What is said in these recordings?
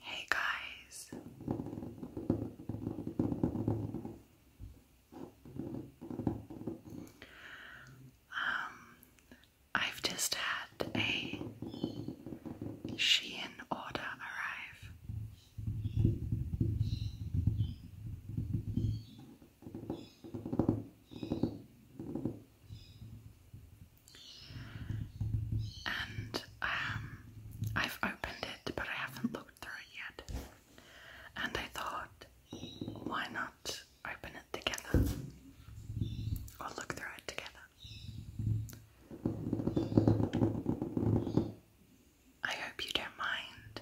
Hey guys. Um I've just had a Shein order arrive and um, I've opened it, but I haven't looked through it yet. And I thought, why not open it together or look through it together? I hope you don't mind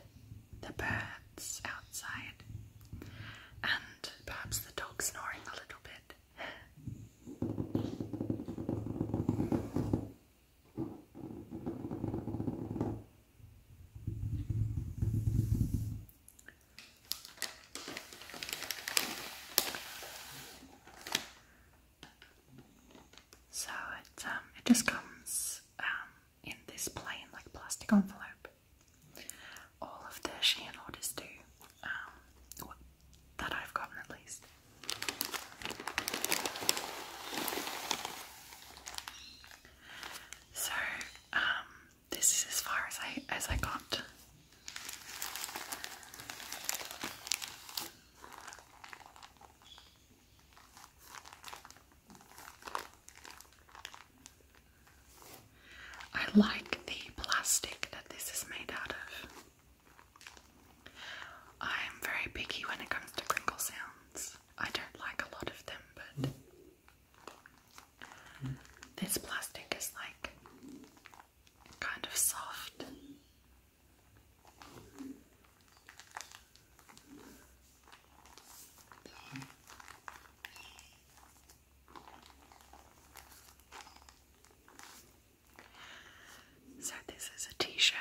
the birds outside and perhaps the dog snoring a little bit. So it um, it just comes um, in this plain like plastic envelope all of the Shein orders do, um, that I've gotten at least. So, um, this is as far as I as I got. I like the plastic that this is made out of. I'm very picky when it comes to crinkle sounds. I don't like a lot of them, but this plastic is like kind of soft. So this is a t-shirt.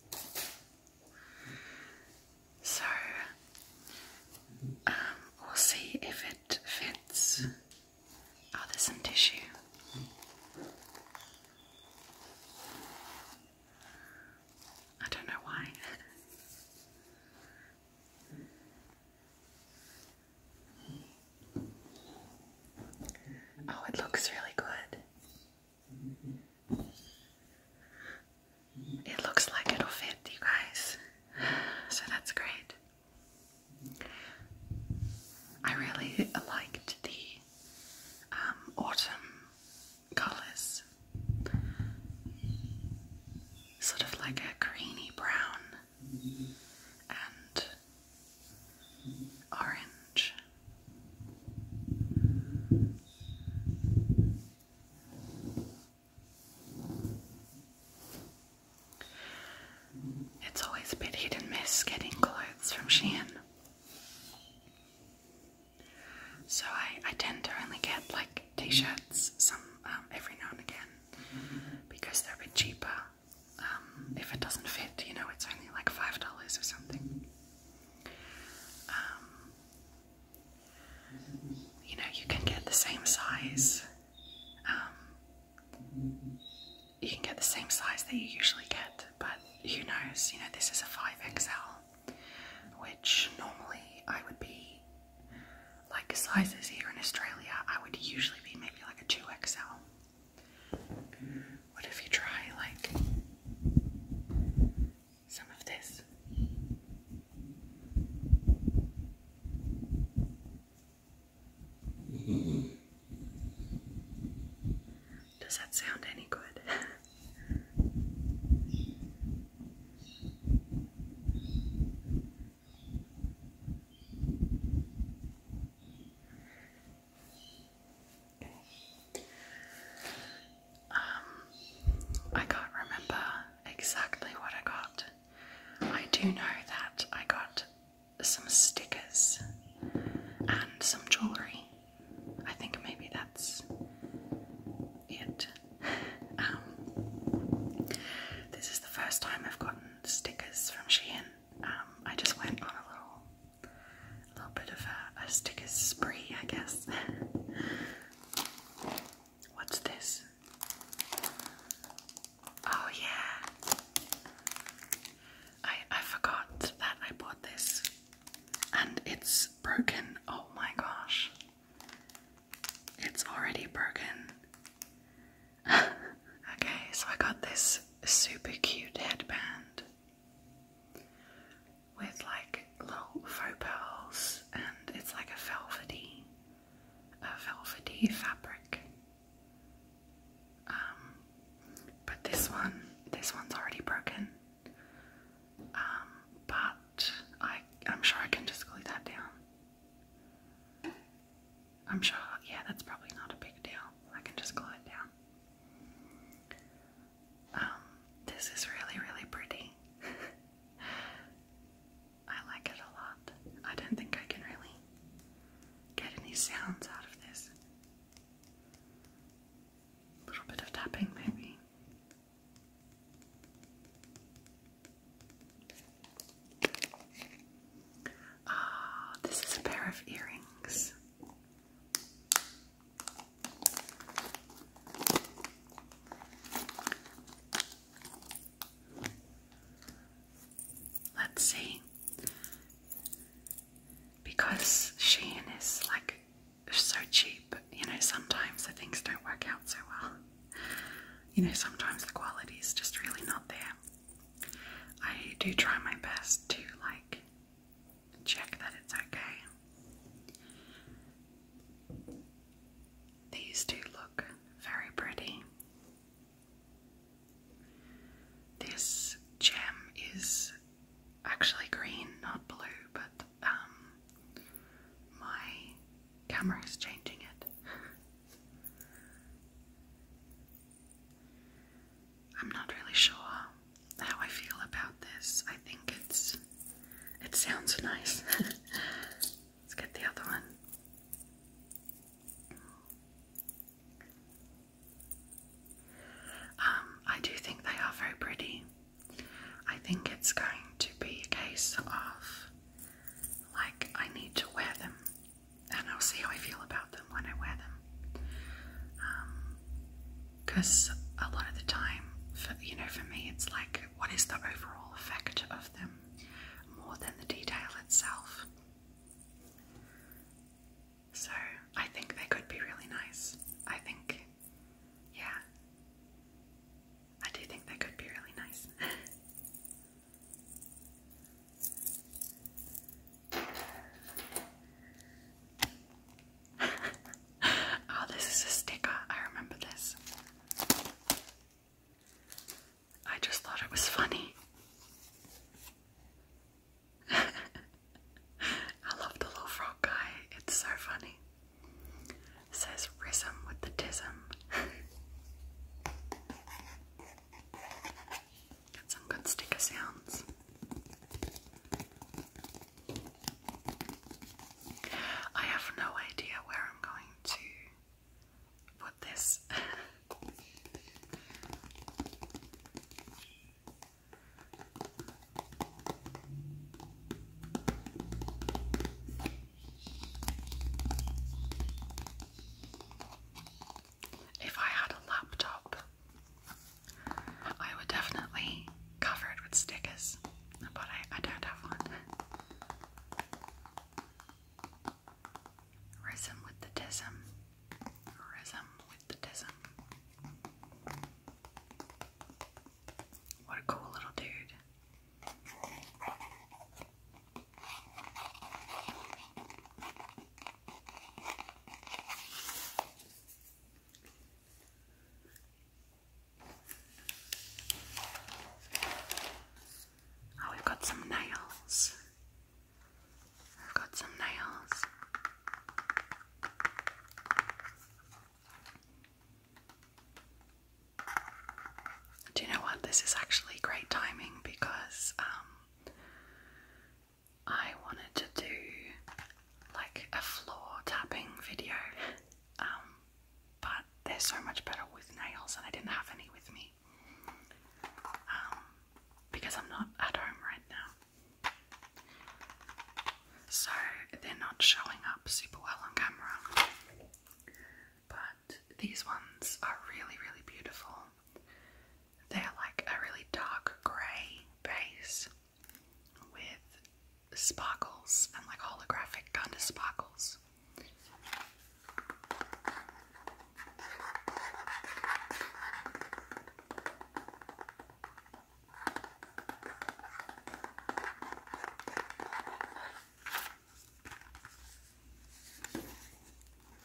So um, we'll see if it fits. Oh, there's some tissue. I don't know why. Oh, it looks really good. It looks like it'll fit you guys, so that's great. I really liked the um, autumn colors, sort of like a greeny brown and orange. It's always a bit hit and miss getting clothes from Shein. So I, I tend to only get like t-shirts some um, every now and again because they're a bit cheaper. Um, if it doesn't fit, you know, it's only like $5 or something. Um, you know, you can get the same size. Um, you can get the same size that you usually get, but who knows? You know, this is a 5XL, which normally I would be like sizes here in Australia, I would usually be maybe like a 2XL. What if you try like some of this? Does that sound any good? Um, I can't remember exactly what I got. I do know that I got some stickers and some jewellery. I think maybe that's it. Um, this is the first time I've gotten stickers from Shein. Um, I just went on a little a little bit of a, sticker spree, I guess. What's this? Oh yeah, I I forgot that I bought this, and it's broken. Oh my gosh, it's already broken. okay, so I got this super cute headband with like little faux pearls, and it's like a velvety, a velvety fabric. Um, but this one, this one's already broken. Um, but I, I'm sure I can just glue that down. I'm sure, yeah, that's probably not a big deal. I can just glue it down. Um, this is really, really pretty. I like it a lot. I don't think I can really get any sounds out of this. A little bit of tapping, maybe. Ah, this is a pair of earrings. Let's see. Because Shein is like so cheap, you know, sometimes the things don't work out so well. You know, sometimes the quality is just really not there. I do try my best to like check that it's okay. These do look very pretty. This gem is actually green, not blue, but um, my camera is changing it. I'm not really sure how I feel about this. I think it's it sounds nice. Let's get the other one. Um, I do think they are very pretty. I think it's going to be a case of like I need to wear them and I'll see how I feel about them when I wear them because um, a lot of the time, for, you know, for me, it's like what is the overall effect of them more than the detail itself. So I think they could be really nice. I think, yeah, I do think they could be really nice. oh, this is a sticker. I remember this. I just thought it was funny. I love the little frog guy, it's so funny. says Rism with the Tism. some good sticker sounds. I have no idea where I'm going to put this if I had a laptop, I would definitely cover it with stickers, but I, don't have one. Rhythm with the tism. Rhythm with the tism. What a cool little dude. Oh, we've got some nails. We've got some nails. Do you know what? This is actually great timing because um, I wanted to do like a floor tapping video, um, but they're so much better with nails, and I didn't have any with me um, because I'm not at home right now. So they're not showing up super well on camera, but these ones are really, really beautiful. They're like a really dark grey base with sparkles and like holographic kind of sparkles.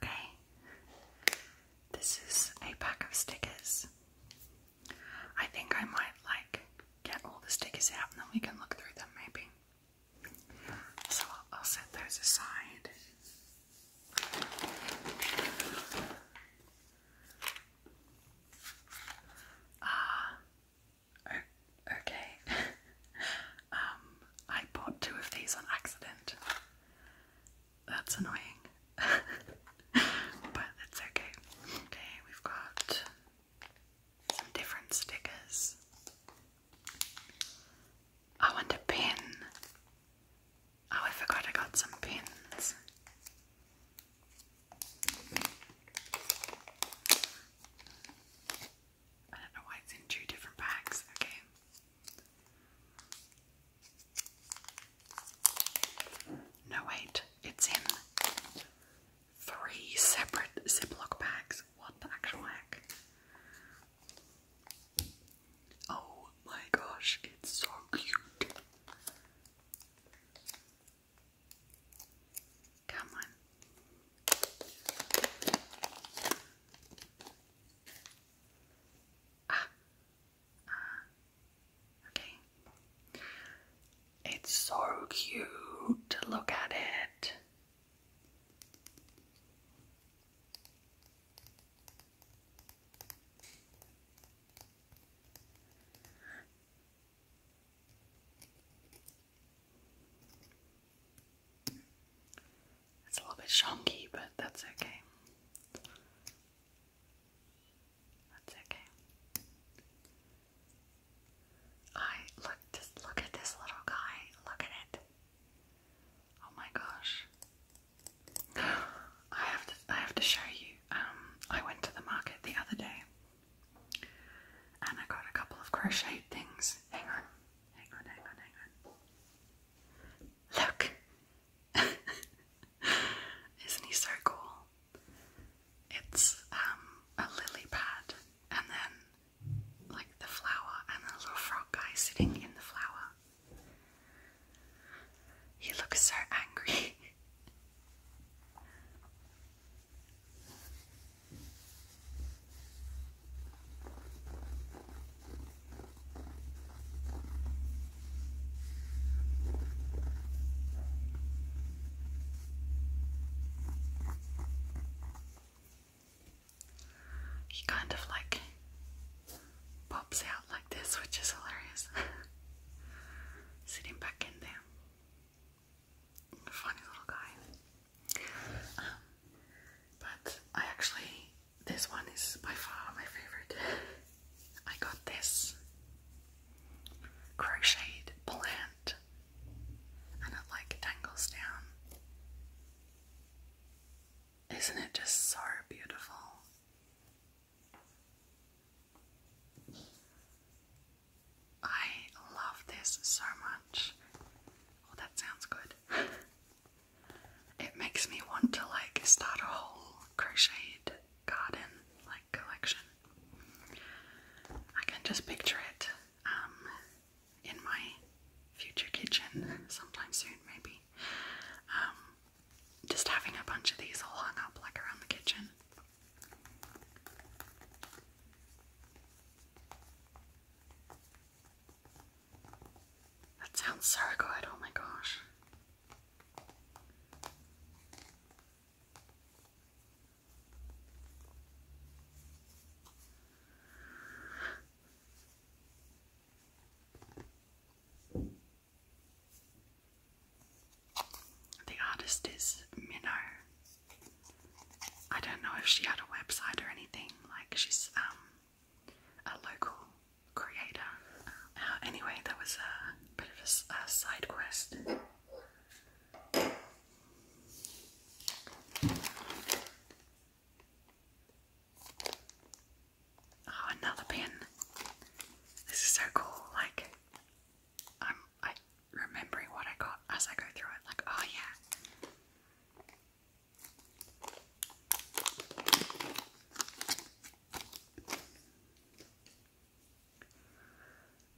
Okay, this is a pack of stickers. I think I might like get all the stickers out and then we can look through them maybe. So I'll, set those aside. Ah, okay. um, I bought two of these on accident. That's annoying. but it's okay. Okay, we've got some different stickers. I want a pin. Oh, I forgot I got some pins. I don't know why it's in two different packs, okay? No, wait, it's in three separate Ziploc bags. What the actual heck? Oh my gosh, it's so cute. Come on. Ah. Uh, okay. It's so cute. Look at it. It's a little bit shonky, but that's okay. That's okay. I look just look at this little guy. Look at it. Oh my gosh. I have to I have to show you. Um I went to the market the other day and I got a couple of crochet things. Hang on. Hang on, hang on, hang on. Look! Isn't he so cool? It's um a lily pad and then like the flower and a little frog guy sitting in the flower. He looks so angry. He kind of like pops out like this, which is hilarious. Sitting back in there funny little guy. Um, but I actually, this one is by far my favorite. I got this crocheted plant and it like tangles down. Isn't it just so beautiful? I love this so much. Oh, that sounds good. it makes me want to like start a whole crocheted garden like collection. I can just picture it um, in my future kitchen sometime soon, maybe. Um, just having a bunch of these all hung up like around the kitchen. That sounds so good, oh my gosh. The artist is Minnow. I don't know if she had a website or anything. Like she's um a local creator. Uh, anyway, that was a bit of a, a side quest. Oh, another pin. This is so cool. Like, I'm I remembering what I got as I go through it. Like, oh yeah,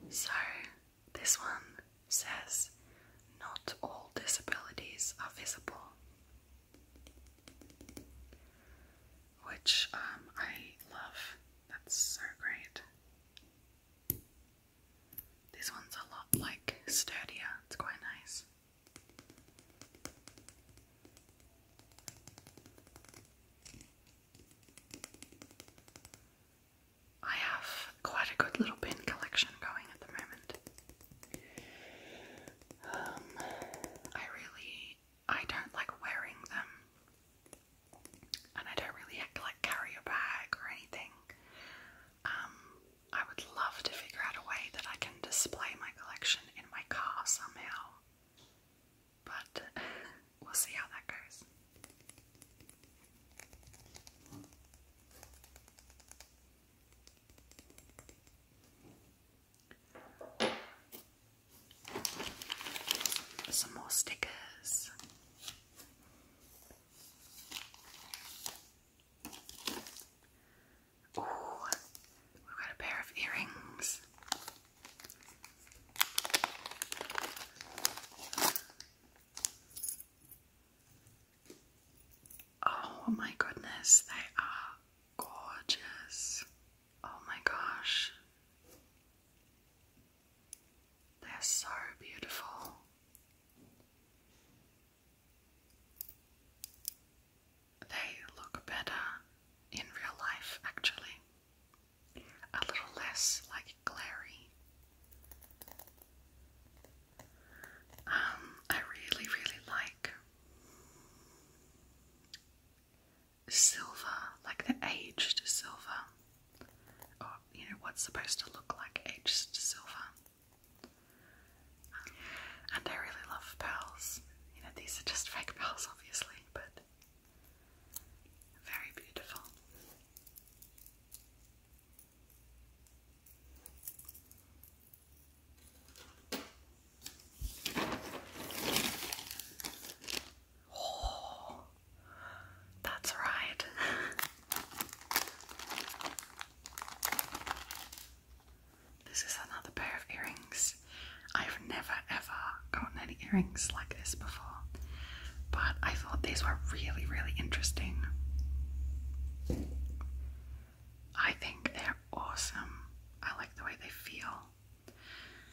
so, this one says not all disabilities are visible, which um, I love. That's so great. This one's a lot like sturdier, it's quite nice. I have quite a good little pin collection going at the moment. Um, I really, I don't like wearing them, and I don't really like carry a bag or anything. Um, I would love to figure out a way that I can display my collection in my car somehow, but we'll see how that goes. Some more stickers. Oh, we've got a pair of earrings. Oh my goodness, they are gorgeous. Oh my gosh. They're so beautiful. They look better in real life, actually, a little less like glary. Um, I really, really like silver, like the aged silver. Oh, you know what's supposed to look like aged silver. Um, and I really love pearls. You know, these are just fake pearls, obviously, but very beautiful. Oh. That's right. this is another pair of earrings. I've never ever gotten any earrings like this before, but I thought these were really, really interesting. I think they're awesome. I like the way they feel.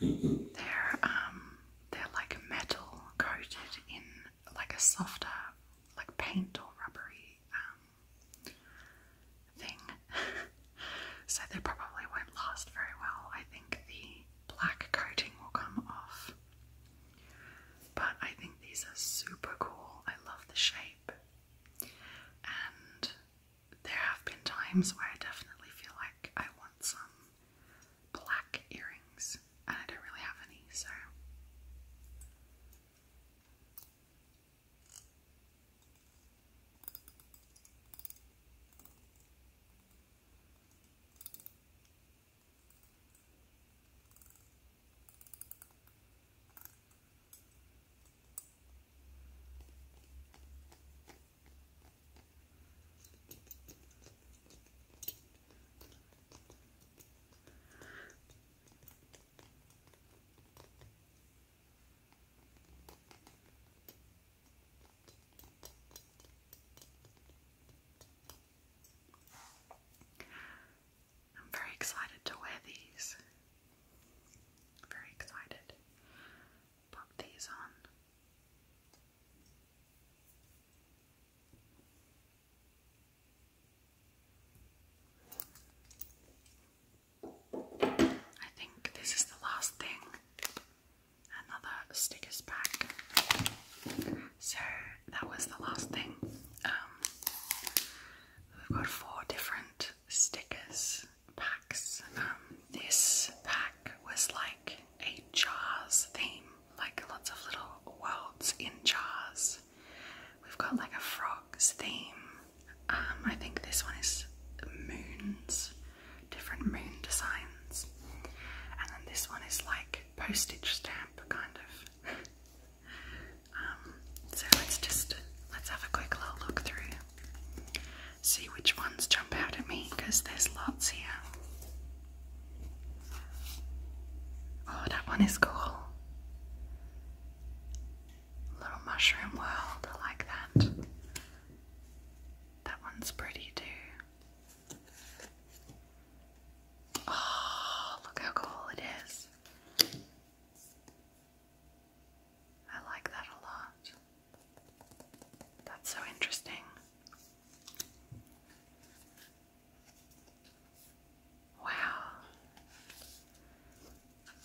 They're um they're like metal coated in like a softer, like paint or rubbery um, thing. so they probably won't last very well. I think the black coating will come off. But I think these are super cool. I love the shape. And there have been times where I definitely feel like I want some black earrings, and I don't really have any, so. I'm very excited to wear these. Very excited. Pop these on. I think this is the last thing. Another stickers pack. So that was the last thing. Um, we've got four different stickers packs. Um, this pack was like a jars theme like lots of little worlds in jars. We've got like a frogs theme. Um, I think this one is moons, different moon designs. And then this one is like postage stamp kind of. Um, so let's just let's have a quick little look through. See which ones jump out at me because there's lots here. Oh, that one is cool. Little mushroom world, I like that. That one's pretty too. Oh, look how cool it is. I like that a lot. That's so interesting. Wow.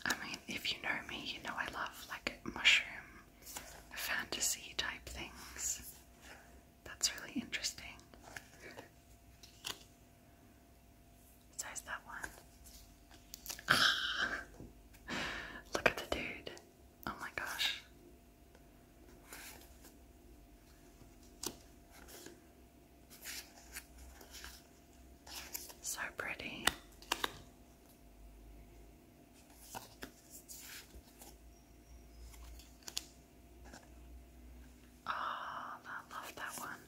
I mean, if you know me, you know I love like mushroom fantasy type things. That's really interesting. Besides that one. look at the dude. Oh my gosh. So pretty. Oh, I love that one.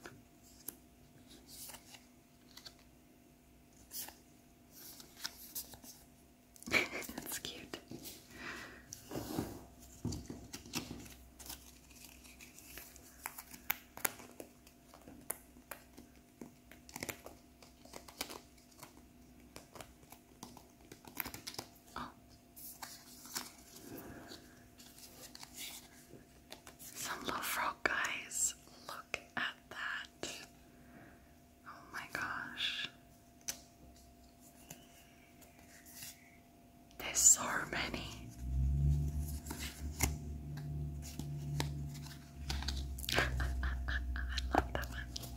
That's cute. Oh. Some little frog guys. Look at that. Oh my gosh. There's so many. I love that one.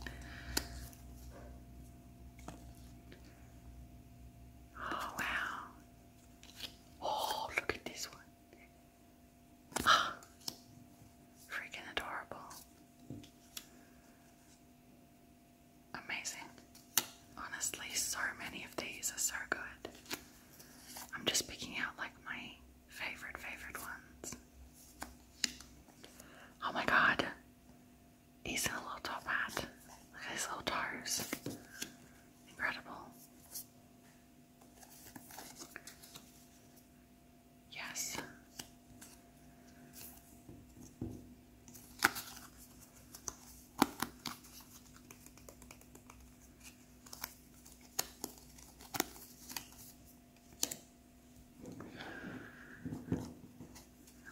Oh, wow. Oh, look at this one. freaking adorable. Amazing. Honestly, so many of these are so good. I'm just picking out like my favorite, favorite ones. Oh my god. He's in a little top hat. Look at his little toes. Incredible. Yes.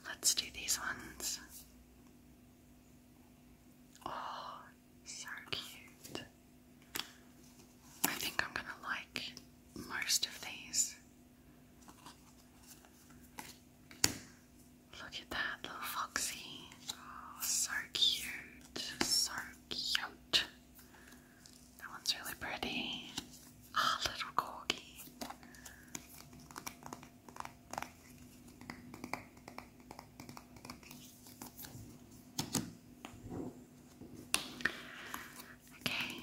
Let's do these ones. Oh, so cute. I think I'm gonna like most of these. Look at that little foxy. Oh, so cute. So cute. That one's really pretty. Ah, little corgi. Okay,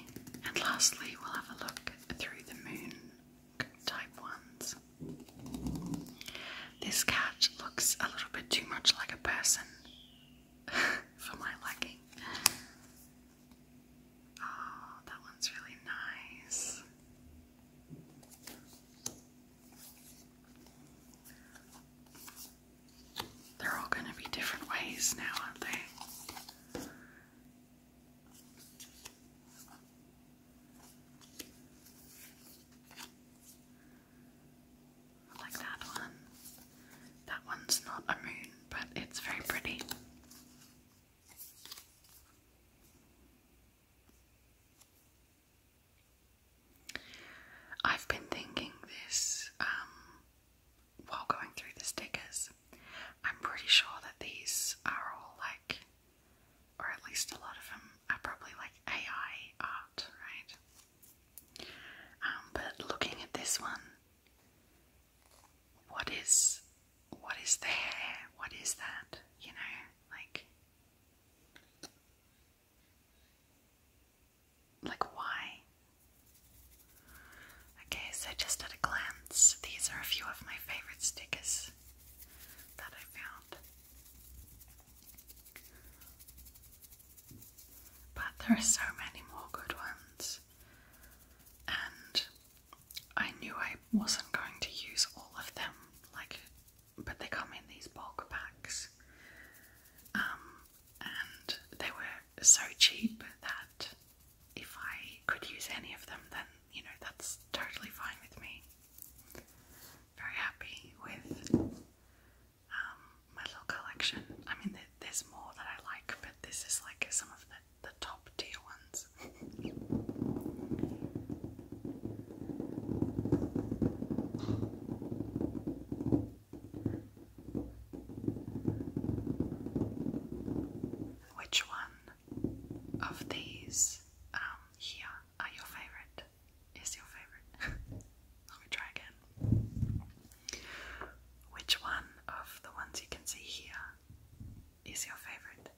and lastly, we'll have a look through the moon type ones. This cat looks a little bit too much like a person for my liking. Oh, that one's really nice. They're all going to be different ways now, aren't they? Like that one. That one's not a moon, but it's very pretty. I've been thinking this um, while going through the stickers I'm pretty sure that these are all like, or at least a lot of them are probably like AI art, right? Um, but looking at this one, what is what is the hair? What is that? You know, like like why? Okay, so just at a glance, these are a few of my favorite stickers that I found. But there are so many more good ones, and I knew I wasn't going to use all of them, like, but they come in these bulk packs, um, and they were so cheap that if I could use any of them, then you know that's totally fine with me. Very happy with um, my little collection. I mean, there's more that I like, but this is like some of the, the top tier ones. Which one of these um, your favorite? Is your favorite? Let me try again. Which one of the ones you can see here is your favorite?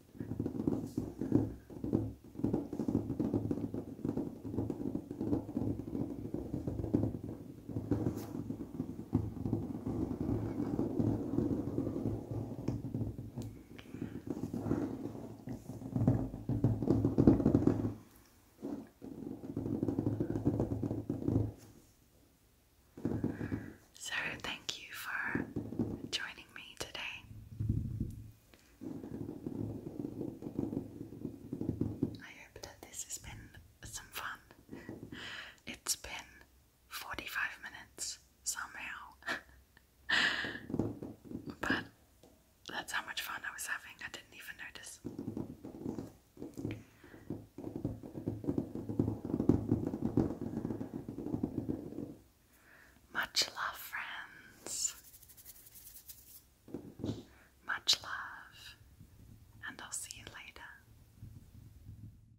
So, thank you for joining me today. I hope that this has been some fun. It's been 45 minutes somehow. but that's how much fun I was having, I didn't even notice. Much love, friends. Much love, and I'll see you later.